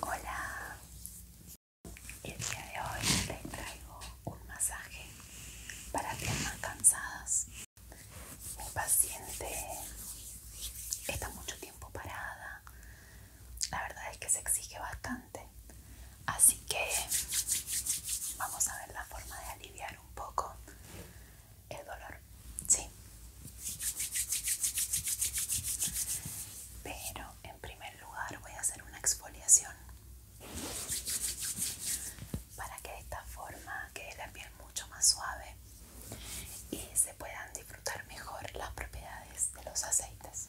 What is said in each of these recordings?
Hola, el día de hoy les traigo un masaje para piernas cansadas. Mi paciente está mucho tiempo parada, la verdad es que se exige bastante, así que vamos a ver la forma de aliviar un poco el dolor, sí. Pero en primer lugar voy a hacer una exfoliación para que de esta forma quede la piel mucho más suave y se puedan disfrutar mejor las propiedades de los aceites.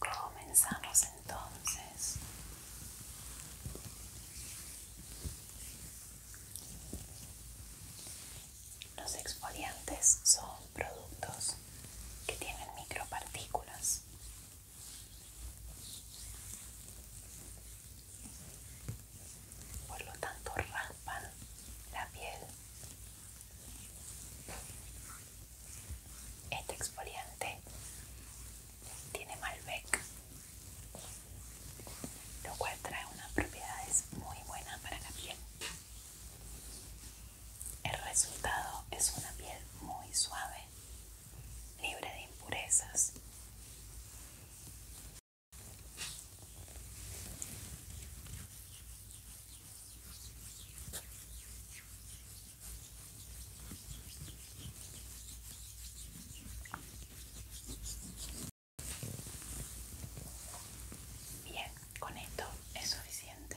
Comenzamos entonces. Los exfoliantes son productos que tienen micropartículas por lo tanto raspan la piel. Este exfoliante tiene Malbec, lo cual trae unas propiedades muy buenas para la piel. El resultado es una piel muy suave, libre de impurezas Bien, con esto es suficiente.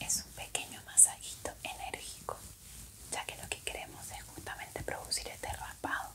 Es un pequeño masajito enérgico, ya que lo que queremos es justamente producir este raspado.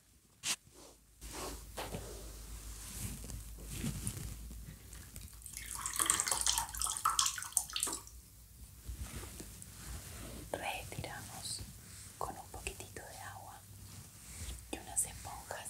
Retiramos con un poquitito de agua y unas esponjas.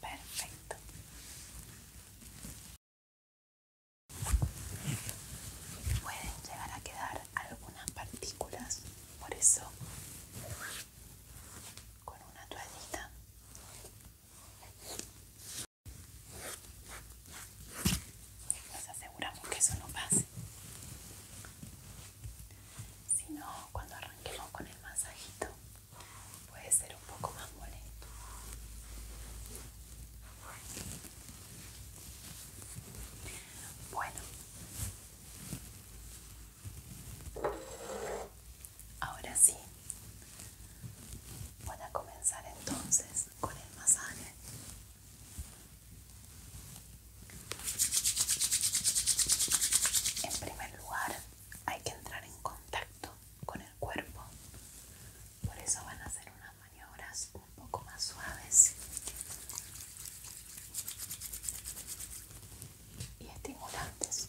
Perfecto. Pueden llegar a quedar algunas partículas, por eso con una toallita nos aseguramos que eso no pase si no cuando arranquemos con el masajito puede ser un poco más molesto bueno Ahora sí, voy a comenzar entonces con el masaje. En primer lugar, hay que entrar en contacto con el cuerpo. Por eso van a hacer unas maniobras un poco más suaves y estimulantes.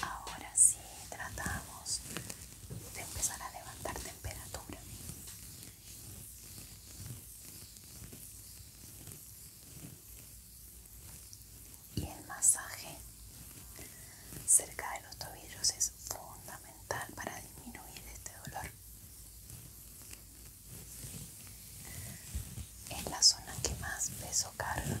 Ahora sí tratamos de empezar a levantar temperatura. Y el masaje cerca de los tobillos es fundamental para disminuir este dolor. Es la zona que más peso carga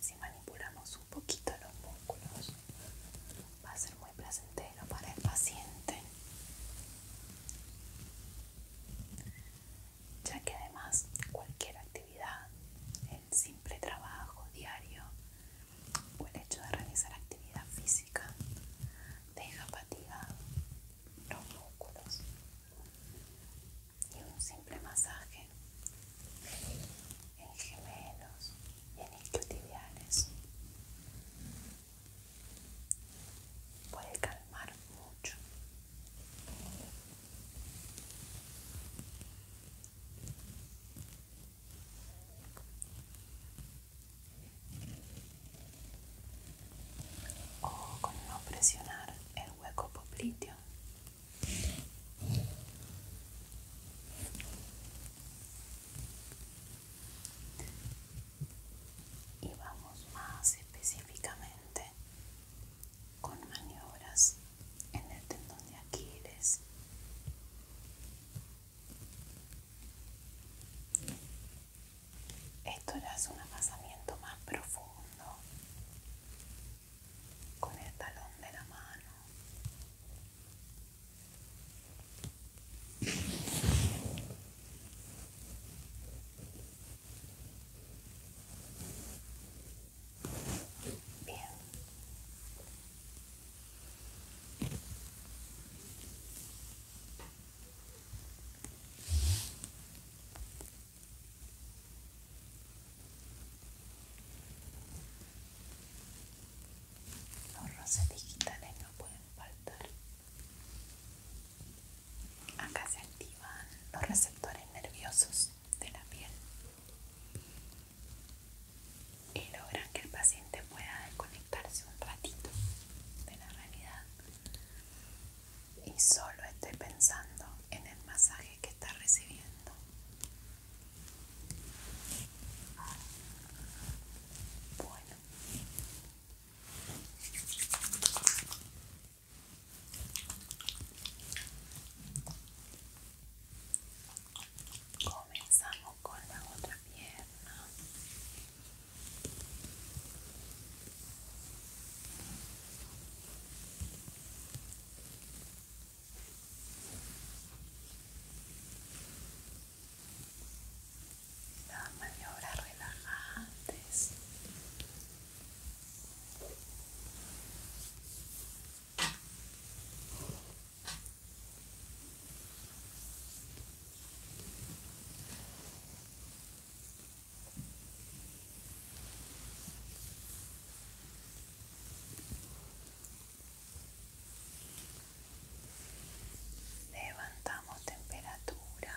Si manipulamos un poquito los músculos, va a ser muy placentero para el paciente, ya que además cualquier actividad, el simple trabajo diario, o el hecho de realizar actividad física deja fatigados los músculos y un simple masaje en gemelos y en isquiotibiales puede calmar mucho o con no presionar el hueco popliteo. Y vamos más específicamente con maniobras en el tendón de Aquiles esto ya es un amasamiento más profundo con el talón de la mano. Bien, los roces digitales no pueden faltar. Acá se activan los receptores nerviosos de la piel y logran que el paciente pueda desconectarse un ratito de la realidad y solo esté pensando en el masaje que está recibiendo. Bueno. Comenzamos con la otra pierna. Las maniobras relajantes. Levantamos temperatura.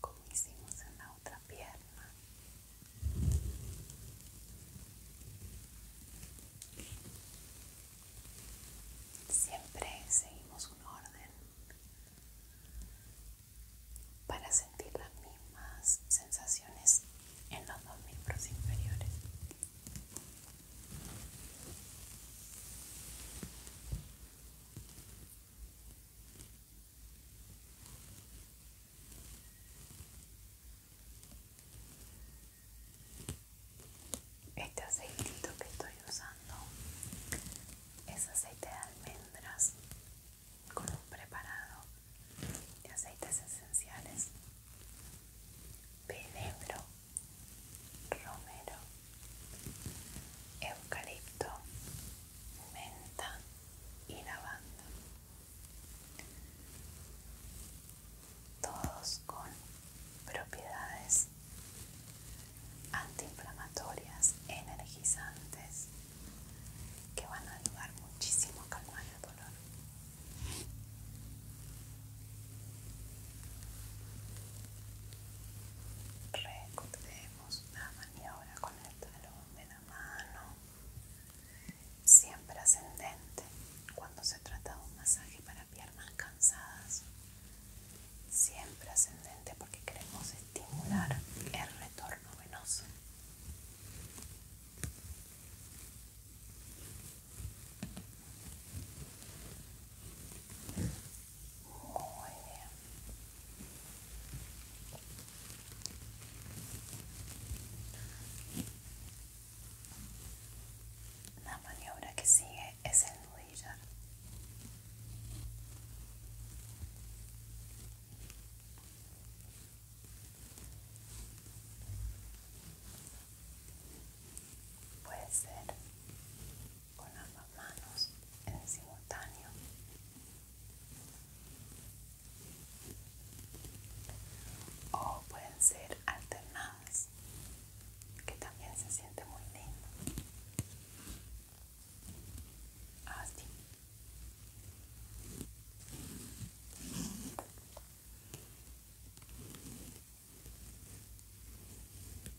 como hicimos en la otra pierna siempre seguimos un orden para sentir las mismas sensaciones en los dos miembros inferiores este aceitito que estoy usando es aceite de almendras con un preparado de aceites esenciales, Pedebro, romero eucalipto, menta y lavanda. Todos con propiedades antiinflamatorias, energizantes, que van a ayudar muchísimo a calmar el dolor una la maniobra con el talón de la mano, siempre ascendente cuando se trata de un masaje para piernas cansadas, siempre ascendente porque queremos estimular el retorno venoso. Muy bien. La maniobra que sigue es el nudillar. Puede ser con ambas manos en simultáneo. O pueden ser alternadas, que también se siente muy lindo. Así. Ah,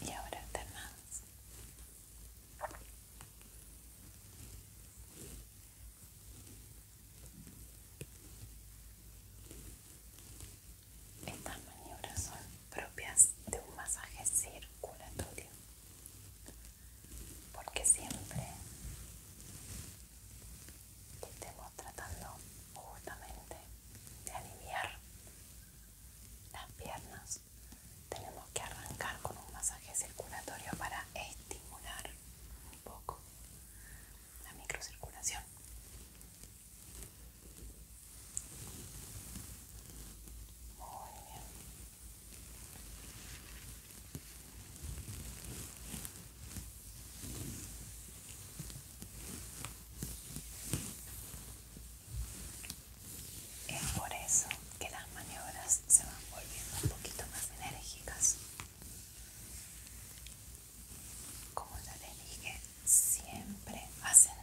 y ahora estas maniobras son propias de un masaje circulatorio porque siempre que estemos tratando justamente de aliviar las piernas tenemos que arrancar con un masaje circulatorio para estimular un poco la microcirculación muy bien es por eso que las maniobras se van volviendo un poquito más enérgicas. Como ya les dije, siempre ascenden.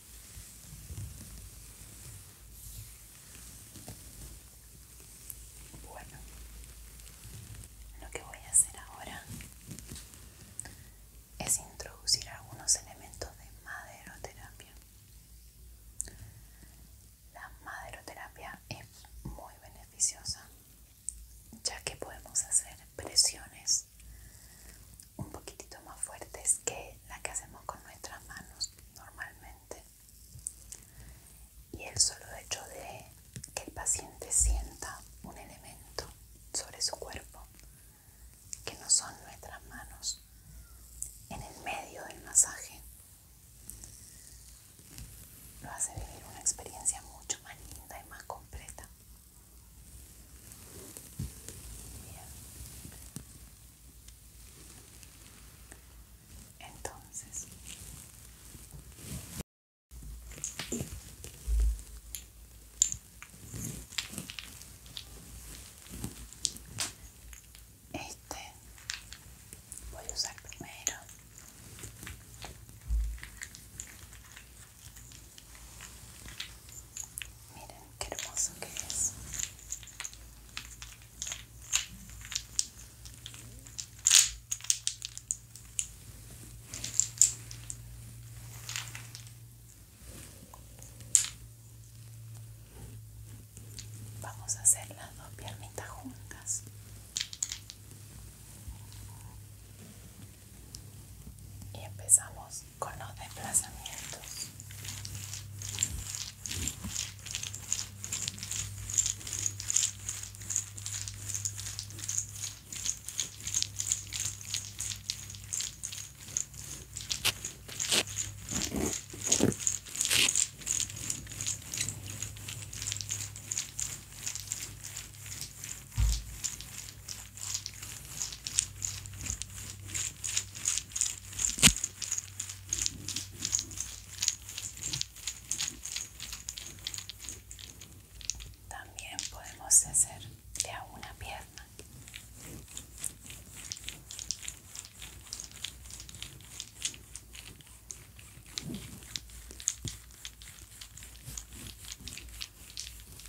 Bueno, lo que voy a hacer ahora es introducir algunos elementos de maderoterapia. La maderoterapia es muy beneficiosa ya que podemos hacer presiones pues, un poquitito más fuertes que la que hacemos con nuestras manos normalmente y el solo hecho de que el paciente sienta un elemento sobre su cuerpo que no son nuestras manos en el medio del masaje lo hace vivir una experiencia mucho más linda y más completa entonces, este voy a usar primero Miren qué hermoso que es. Vamos a hacer las dos piernitas juntas. Y empezamos con los desplazamientos. También podemos hacer de a una pierna.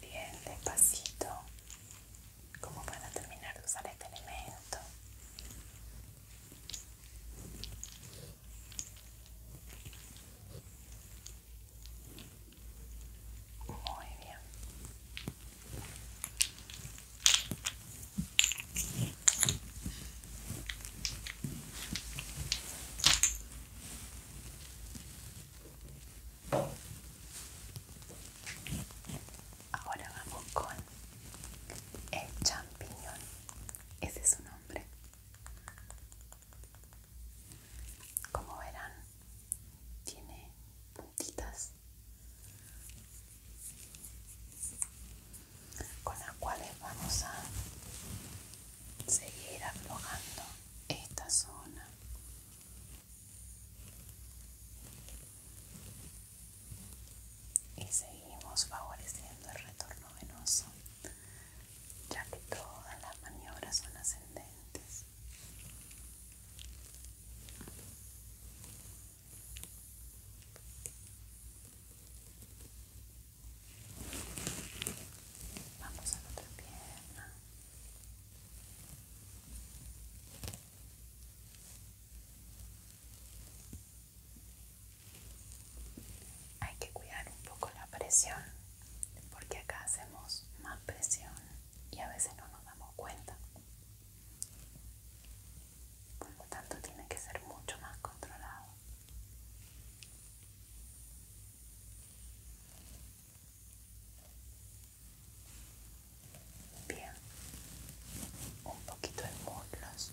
Bien, despacito, como para terminar de usar este elemento. Muy bien. Ahora vamos con el champiñón. Ese es su nombre. Como verán, tiene puntitas con las cuales vamos a seguir aflojando esta zona y seguimos favoreciendo el retorno venoso ya que todas las maniobras son ascendentes Vamos a la otra pierna. Hay que cuidar un poco la presión porque acá hacemos más presión y a veces no nos damos cuenta. Por lo tanto, tiene que ser mucho más controlado. Bien, un poquito de muslos.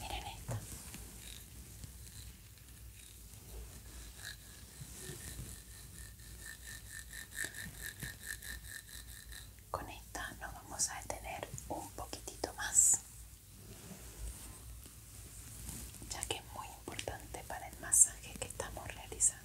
Miren esta. Con esta nos vamos a detener un poquitito más, ya que es muy importante para el masaje que estamos realizando.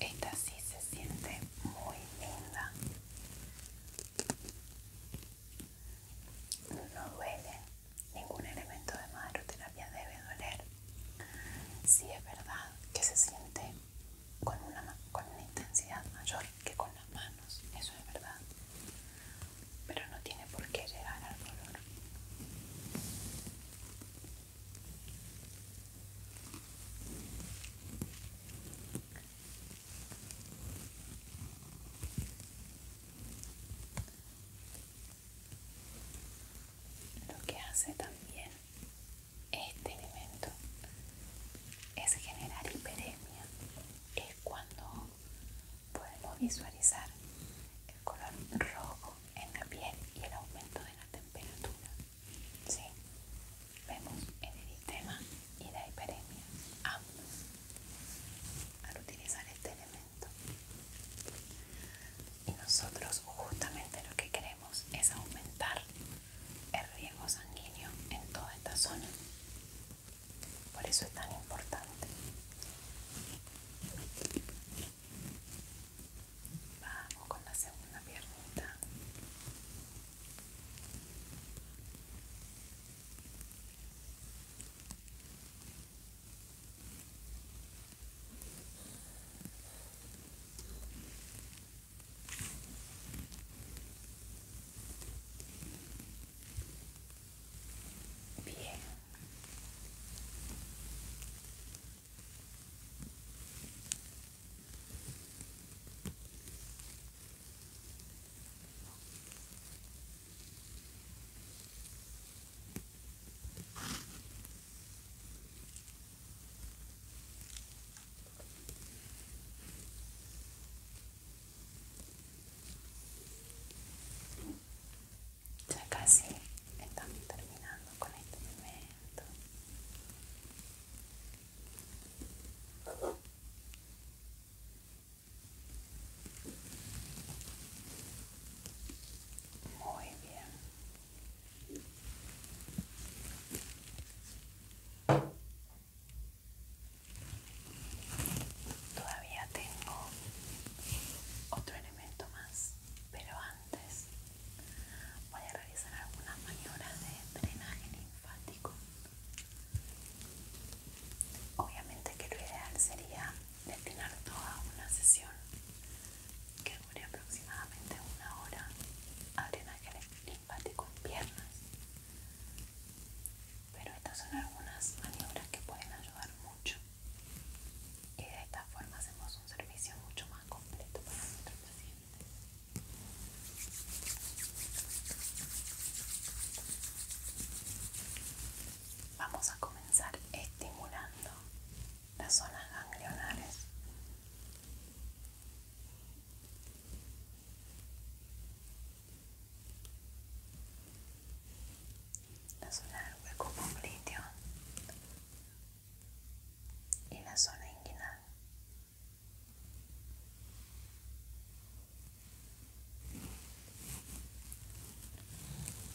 Esta sí se siente muy linda. No duele, ningún elemento de maderoterapia debe doler. Sí es verdad que se siente con una, con una intensidad mayor que con las manos, eso es verdad. Pero no tiene por qué llegar al dolor. Lo que hace también este elemento es generar hiperemia, es cuando podemos visualizar el color rojo en la piel y el aumento de la temperatura. Sí, vemos el eritema y la hiperemia, ambos, al utilizar este elemento. Y nosotros justamente lo que queremos es aumentar el riesgo sanguíneo en toda esta zona. Por eso es tan importante. Vamos con la segunda piernita. Bien. Ya casi estamos terminando con este bebé Muy bien. Todavía tengo otro elemento más, pero antes Voy a realizar algunas maniobras de drenaje linfático. Obviamente que lo ideal sería destinar toda una sesión que dure aproximadamente una hora a drenaje linfático en piernas. Pero estas son algunas maniobras que pueden ayudar mucho y de esta forma hacemos un servicio mucho más completo para nuestros pacientes Vamos a comenzar estimulando las zonas ganglionares. La zona del hueco popliteo y la zona inguinal.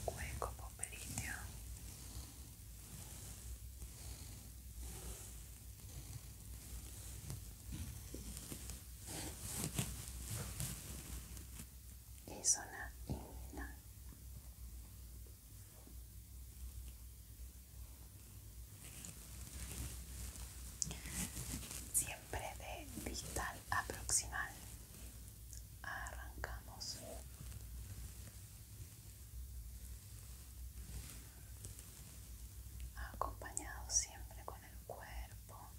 Cuenco poperitio. Y zona inguinal siempre de distal aproximal, arrancamos acompañado siempre con el cuerpo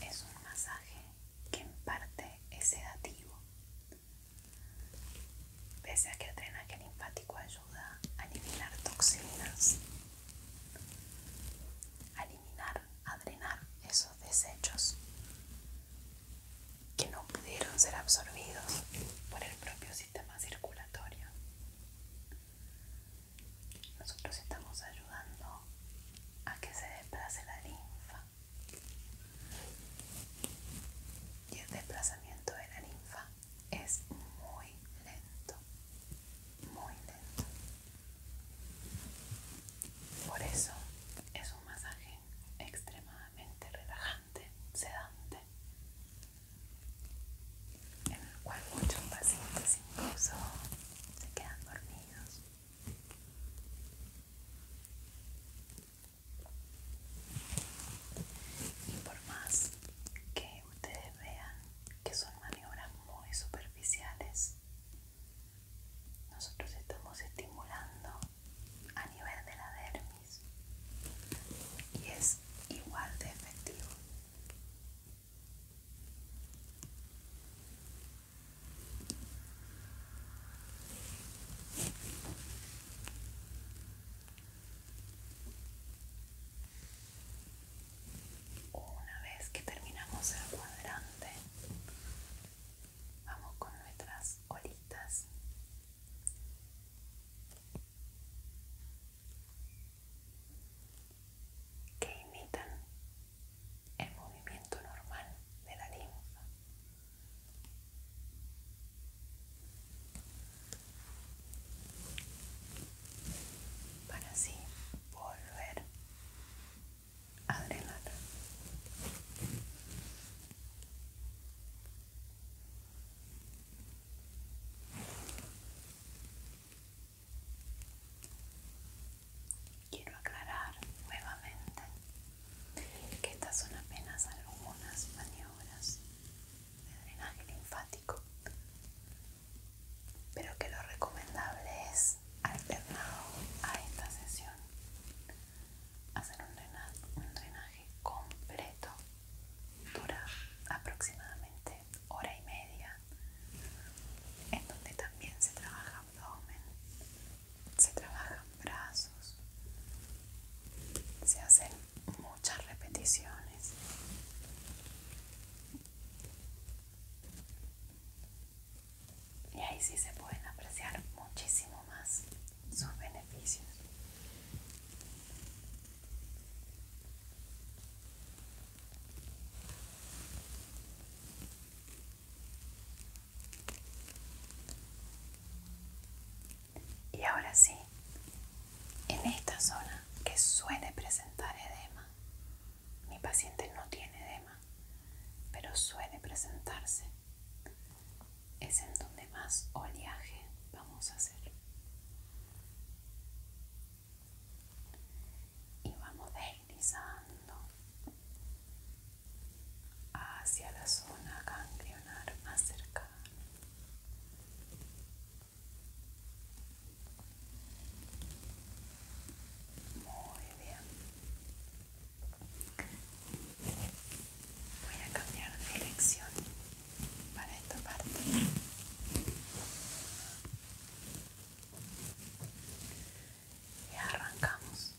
es un masaje que en parte es sedativo. Pese a que el drenaje linfático ayuda a eliminar toxinas, a eliminar, a drenar esos desechos, que no pudieron ser absorbidos por el propio sistema circulatorio. Nosotros estamos ayudando a que se desplace la linfa. Y el desplazamiento de la linfa es muy lento, muy lento. Por eso es un masaje extremadamente relajante, sedante, en el cual muchos pacientes incluso se quedan dormidos. Y por más que ustedes vean que son maniobras muy superficiales, nosotros estamos estimulando a nivel de la dermis y es igual de efectivo. Una vez que terminamos el cuadrante, Vamos con nuestras olitas. Que imitan el movimiento normal de la linfa. Para así volver a drenar. Quiero aclarar nuevamente que estas son apenas algunas maniobras de drenaje linfático, pero que lo recomendable es alternado a esta sesión hacer un drenaje, un drenaje completo dura aproximadamente hora y media en donde también se trabaja abdomen se trabajan brazos se hacen muchas repeticiones y ahí sí se pueden apreciar muchísimo más sus beneficios. Y ahora sí, en esta zona que suele presentar edema, mi paciente no tiene edema, pero suele presentarse es en donde más oleaje vamos a hacer y vamos deslizando hacia la zona ganglionar más cercana muy bien Voy a cambiar de dirección para esta parte. Y arrancamos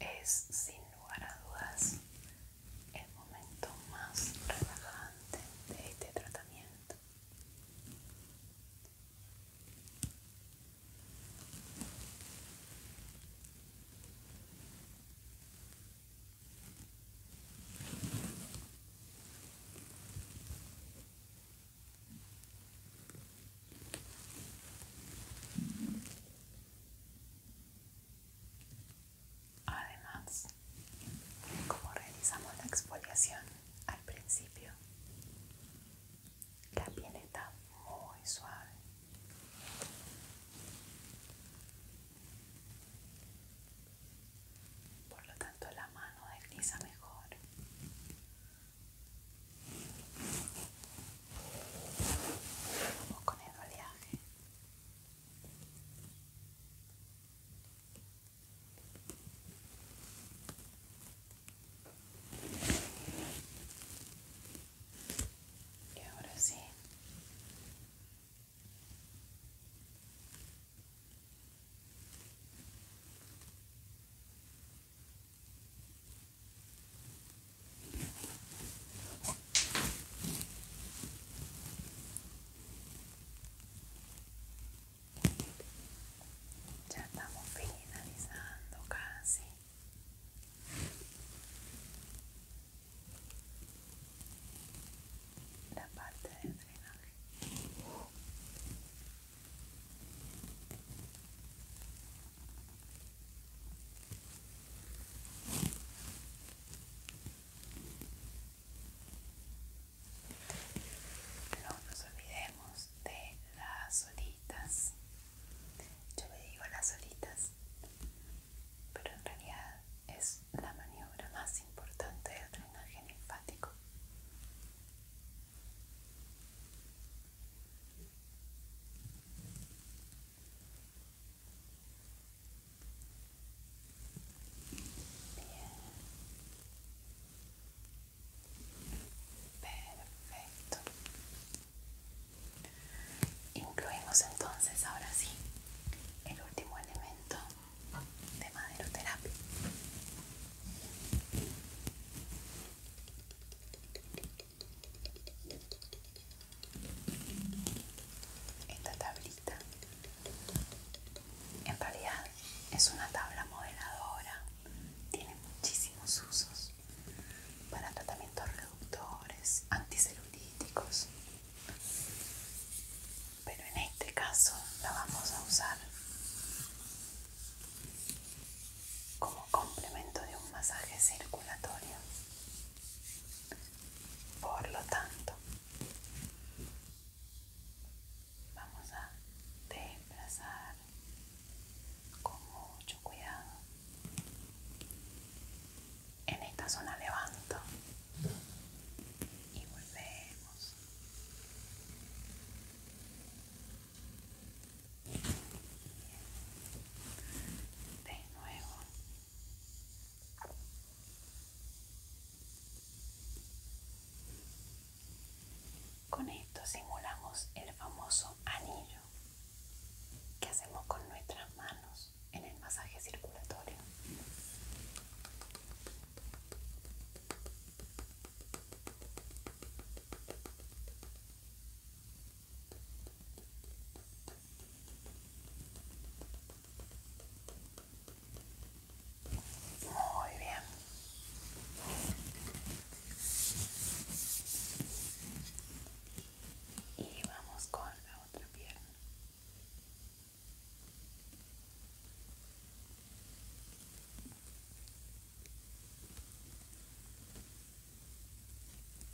es sin lugar a dudas el momento más relajante de este tratamiento. Además, como realizamos la exfoliación al principio, la piel está muy suave. Por lo tanto, la mano desliza mejor con el oleaje. Y ahora sí. Ya estamos finalizando casi. La parte del no nos olvidemos de las olitas. Yo le digo las olitas, pero en realidad es la maniobra más importante del drenaje linfático. Perfecto. Incluimos entonces ahora sí el último elemento de maderoterapia. terapia esta tablita en realidad es una tabla modeladora, tiene muchísimos usos para tratamientos reductores, anticelulíticos, pero en este caso la vamos a usar como complemento de un masaje circulatorio. Por lo tanto, vamos a desplazar con mucho cuidado. En esta zona levanto y volvemos de nuevo con esto simulamos el famoso anillo que hacemos con nuestras manos en el masaje circulatorio muy bien. Y vamos con la otra pierna.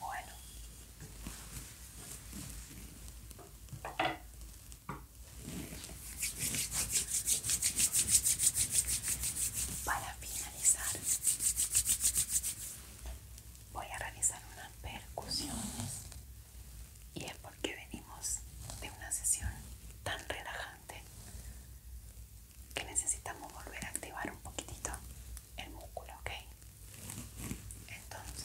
Bueno. Para finalizar, voy a realizar unas percusiones y es porque venimos de una sesión tan relajante que necesitamos volver a activar un poquitito el músculo, ¿ok? Entonces,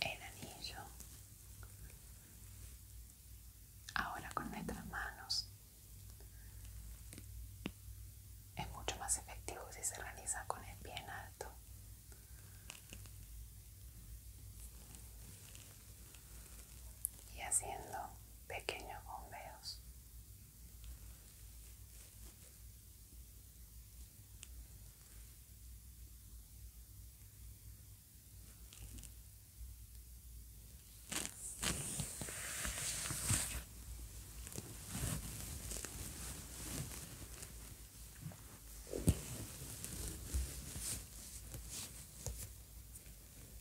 el anillo ahora con nuestras manos es mucho más efectivo si se realiza con el pie en alto y haciendo pequeños bombeos.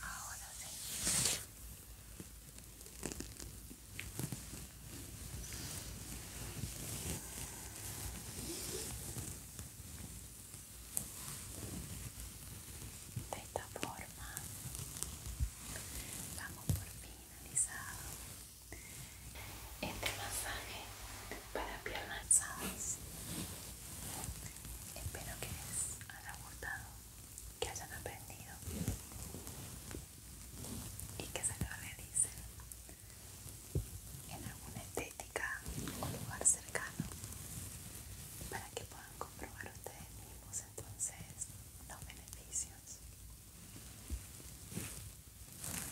Ahora De esta forma vamos por finalizado este masaje para piernas alzadas Espero que les haya gustado, que hayan aprendido y que se lo realicen en alguna estética o lugar cercano para que puedan comprobar ustedes mismos entonces los beneficios.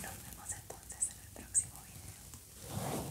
Nos vemos entonces en el próximo video.